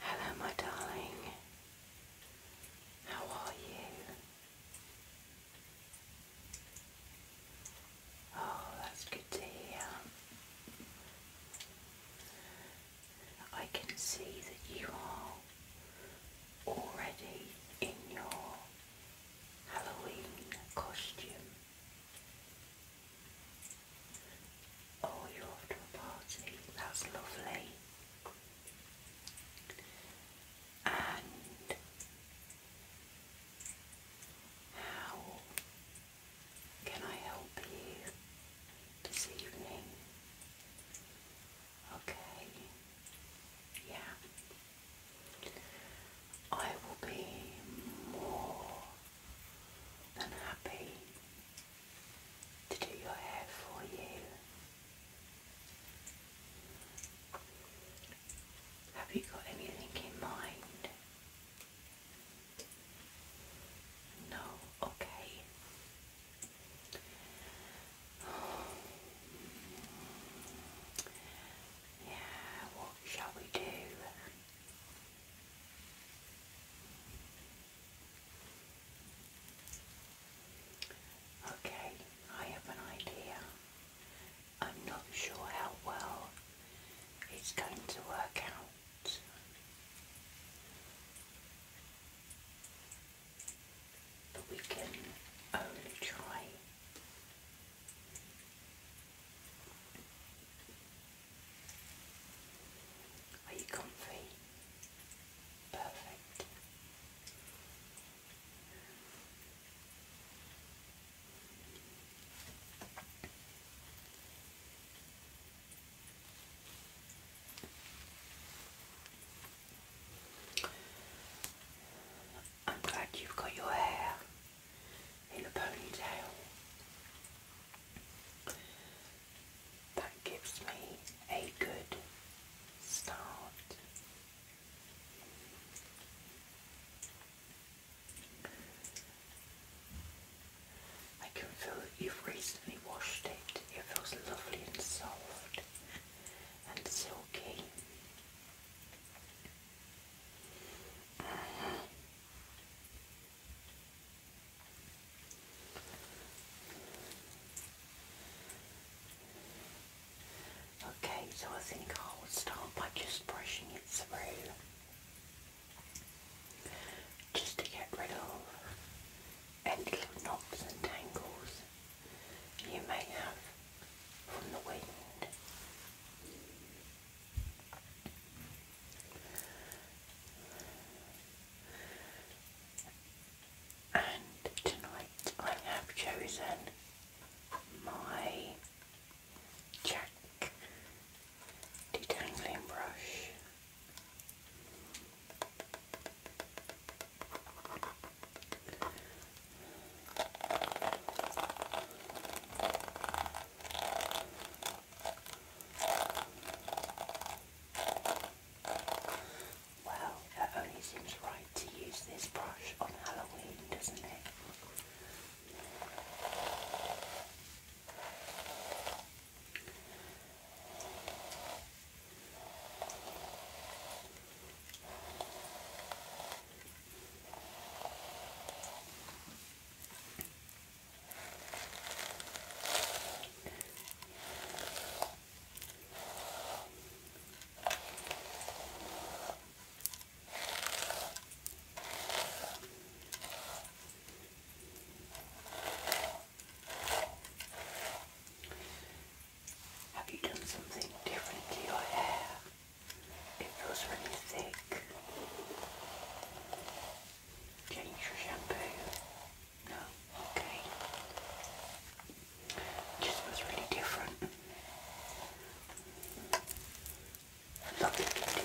Hello, my darling. How are you? Oh, that's good to hear. I can see that you are already in your Halloween costume. Oh, you're off to a party. That's lovely and how can I help you this evening? Okay, yeah, I will be more than happy to do your hair for you. Have you got anything in mind? No, okay. Yeah, what shall we do? Okay, I have an idea. I'm not sure how well it's going to work out. But we can only try. Are you comfy? Perfect. I'm glad you've got your hair in a ponytail. That gives me a good start. I can feel that you've recently washed it. It feels lovely and soft and silky. Okay, so I think I'll start by just brushing it through just to get rid of any little knots and tangles you may have from the wind. And tonight I have chosen my Jack detangling brush. Well, it only seems right to use this brush on Halloween, doesn't it? Have you done something different to your hair? It feels really thick. Change your shampoo. No, okay. just was really different. Lovely condition.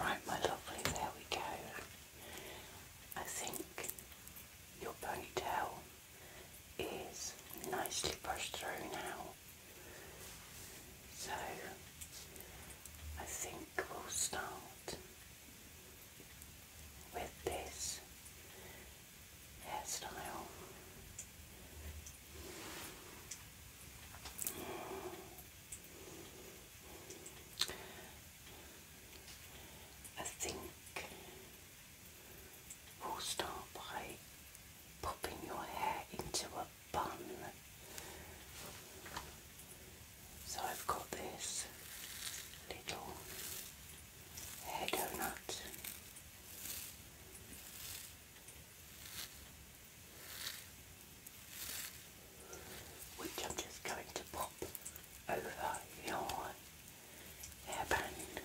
Right, my lovely, there we go. I think your ponytail is nicely brushed through now. So I think we'll start with this hairstyle. I think we'll start by popping your hair into a bun. So I've got this little hair donut. Which I'm just going to pop over your hairband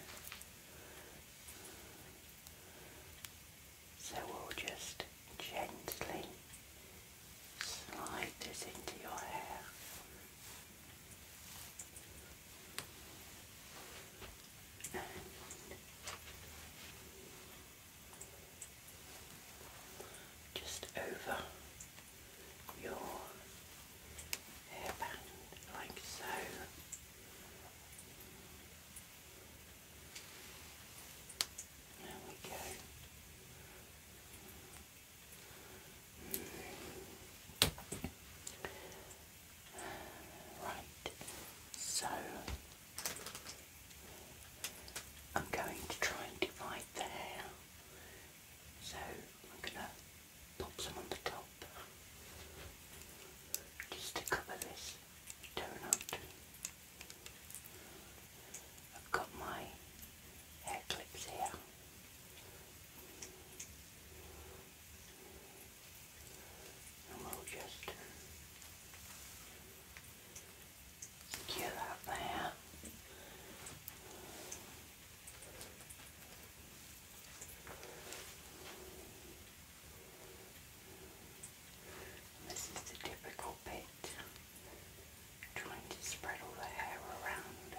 so we'll just gently slide this into your hair. just over your hairband like so. There we go. Right, so I'm going to try and divide the hair. So I'm going to pop some on the top just to cover this donut. I've got my hair clips here. And we'll just secure that there. This is the difficult bit, trying to spread all the hair around.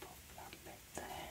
pop that bit there.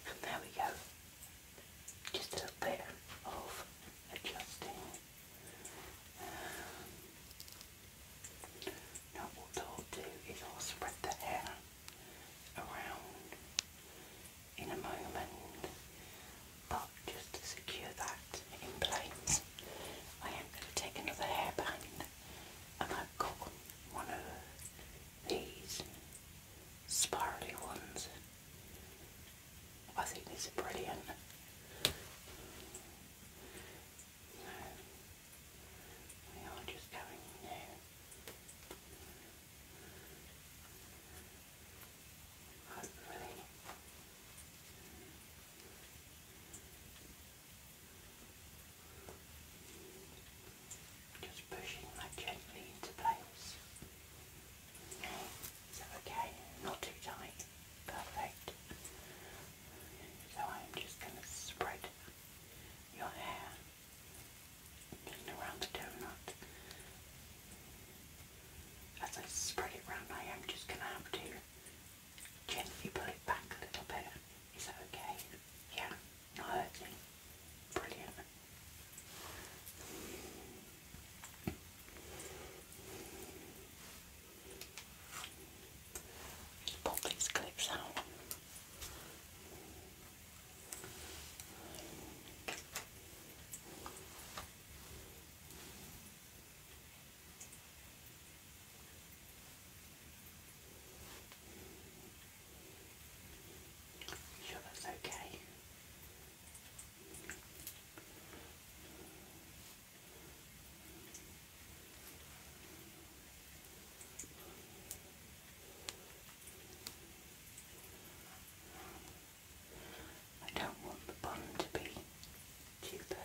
And there we go. Just a bit of adjusting. Now what I'll do is I'll spread the hair around in a moment, but just to secure that in place, I am going to take another hairband and I've got one of these spirally ones. I think these are brilliant. We are just going new. Hopefully. Just pushing that gently into place. okay, not too tight. Perfect. So I'm just going to spread your hair around the donut. As I spread it round, I am just going to have to gently pull it back a little bit. Is that okay? Yeah, not hurting. Brilliant. Just pop these clips out. Sure, that's okay. I don't want the bun to be too perfect.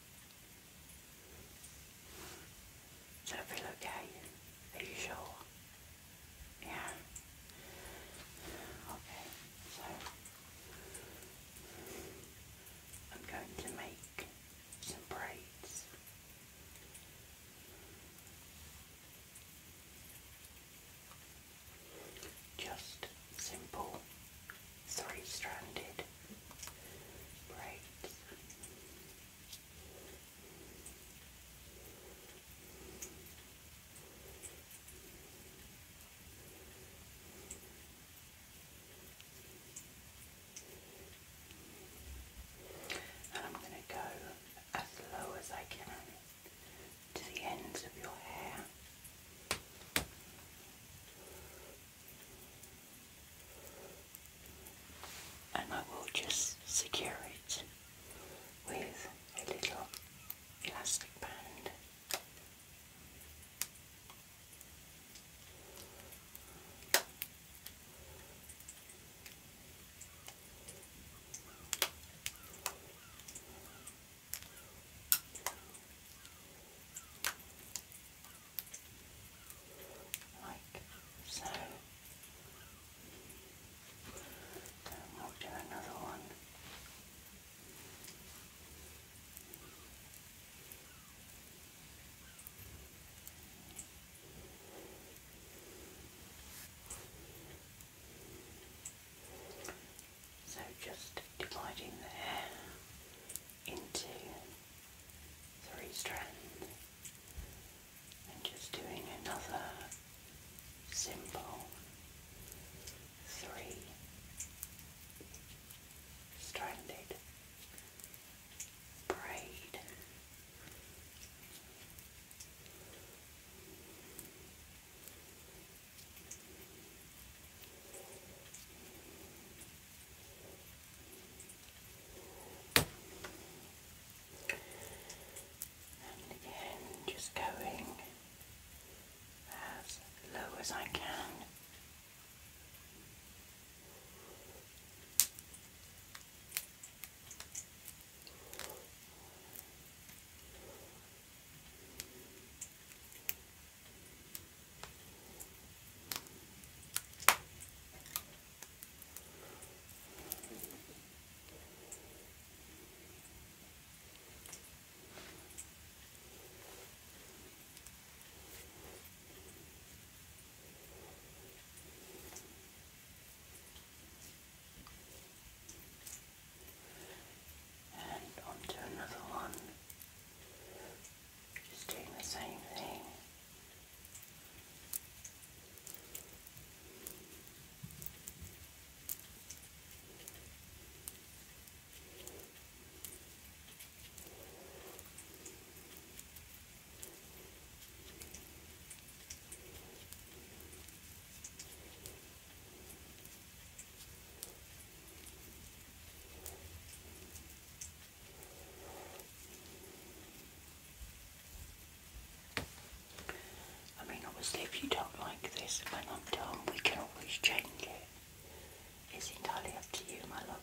Does that feel okay? Are you sure? Yeah. Okay, so I'm going to make some braids. Just simple three-stranded braids. And I'm going to go as low as I can to the ends of your hair and I will just secure it with a little elastic band like so. And we do another one. So just dividing the into three strands and just doing another simple three stranded braid. And again, just going as low as I can. And onto another one. Just doing the same thing. I mean, obviously, if you don't like this when I'm done, we can always change it. It's entirely up to you, my love.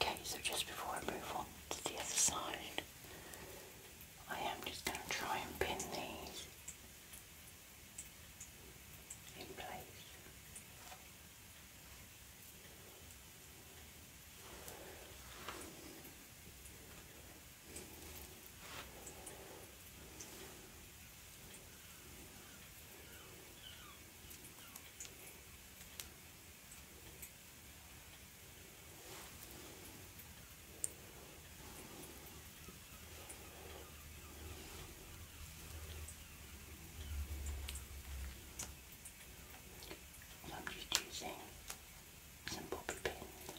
Okay, so just before I move on to the other side, I am just going to try and pin these in place. So I'm just using some bobby pins.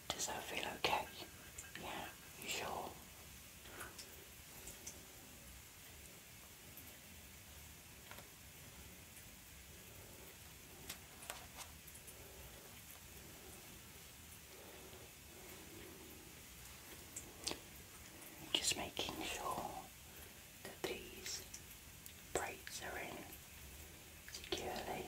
Does that feel okay? Yeah, sure? Just making sure that these braids are in securely.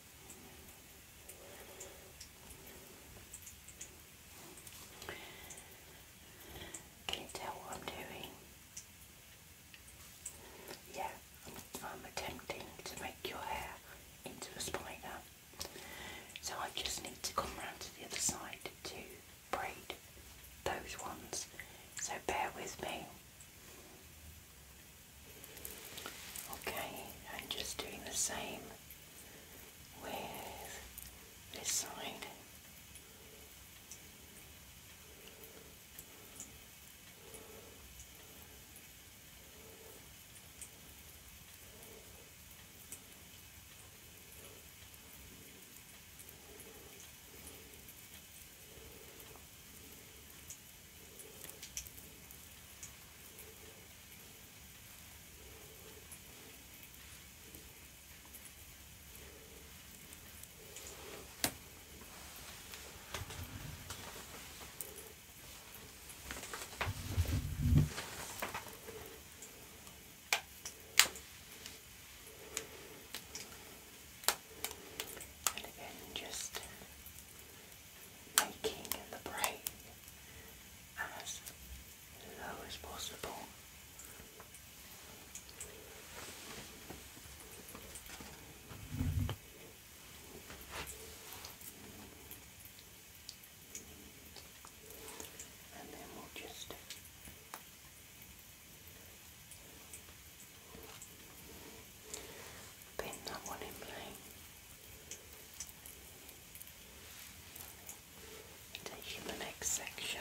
Can you tell what I'm doing? Yeah, I'm, attempting to make your hair into a spider. So I just need to come round to the other side to braid those ones. So bear with me. Okay, I'm just doing the same with this side. And again, just making the braid as low as possible. And then we'll just pin that one in place. Taking the next section.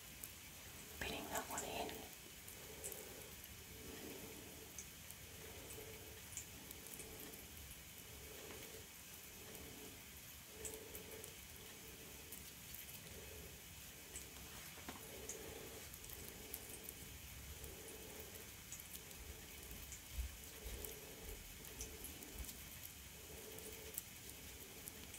Fitting that one in.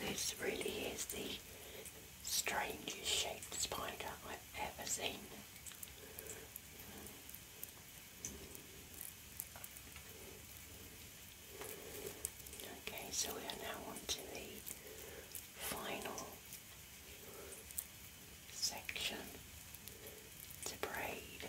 This really is the strangest shaped spider I've ever seen. Okay, so we are now on to the final section to braid.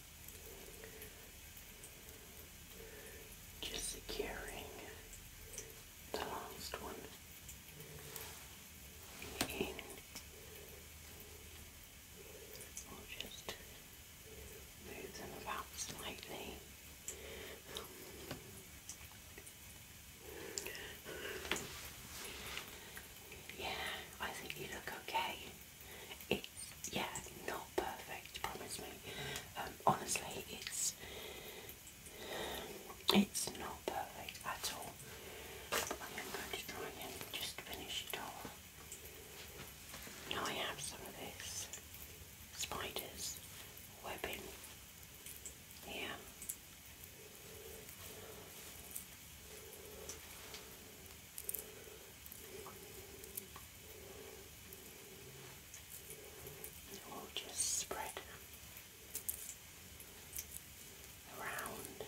just securing the last one in we'll just move them about slightly yeah, I think you look okay. It's yeah, not perfect. Promise me. Um, honestly, it's it's not perfect at all. I am going to try and just finish it off. I have some of this spiders webbing here will just spread around.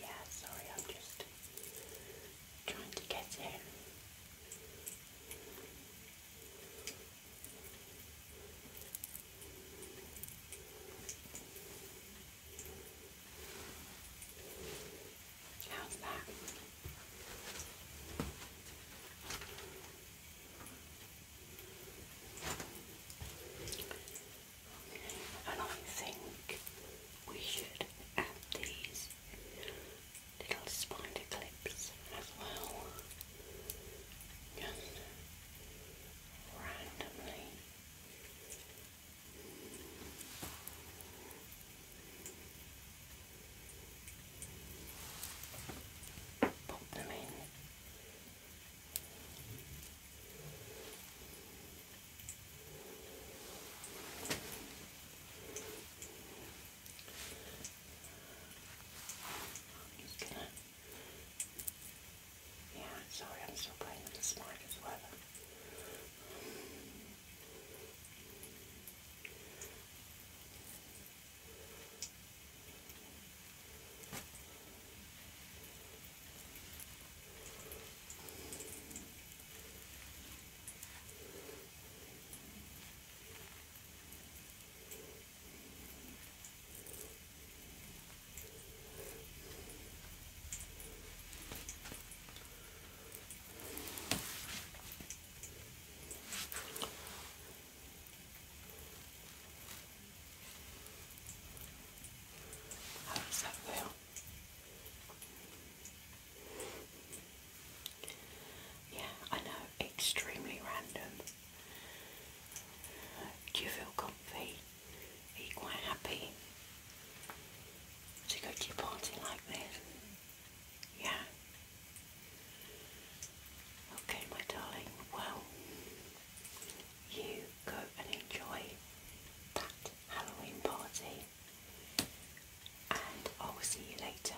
Yeah, sorry, I'm just trying to get in. How's that? And I think we should add these little spider clips as well randomly. Pop them in. I'm just gonna yeah, sorry, I'm still playing with the mic as well. How that feel? Yeah, I know, extremely random. Do you feel comfy? Are you quite happy to go to your party like this? Yeah. Okay, my darling. Well, you go and enjoy that Halloween party, and I will see you later.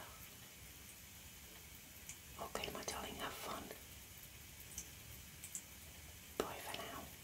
Okay, my darling, have fun. Bye for now.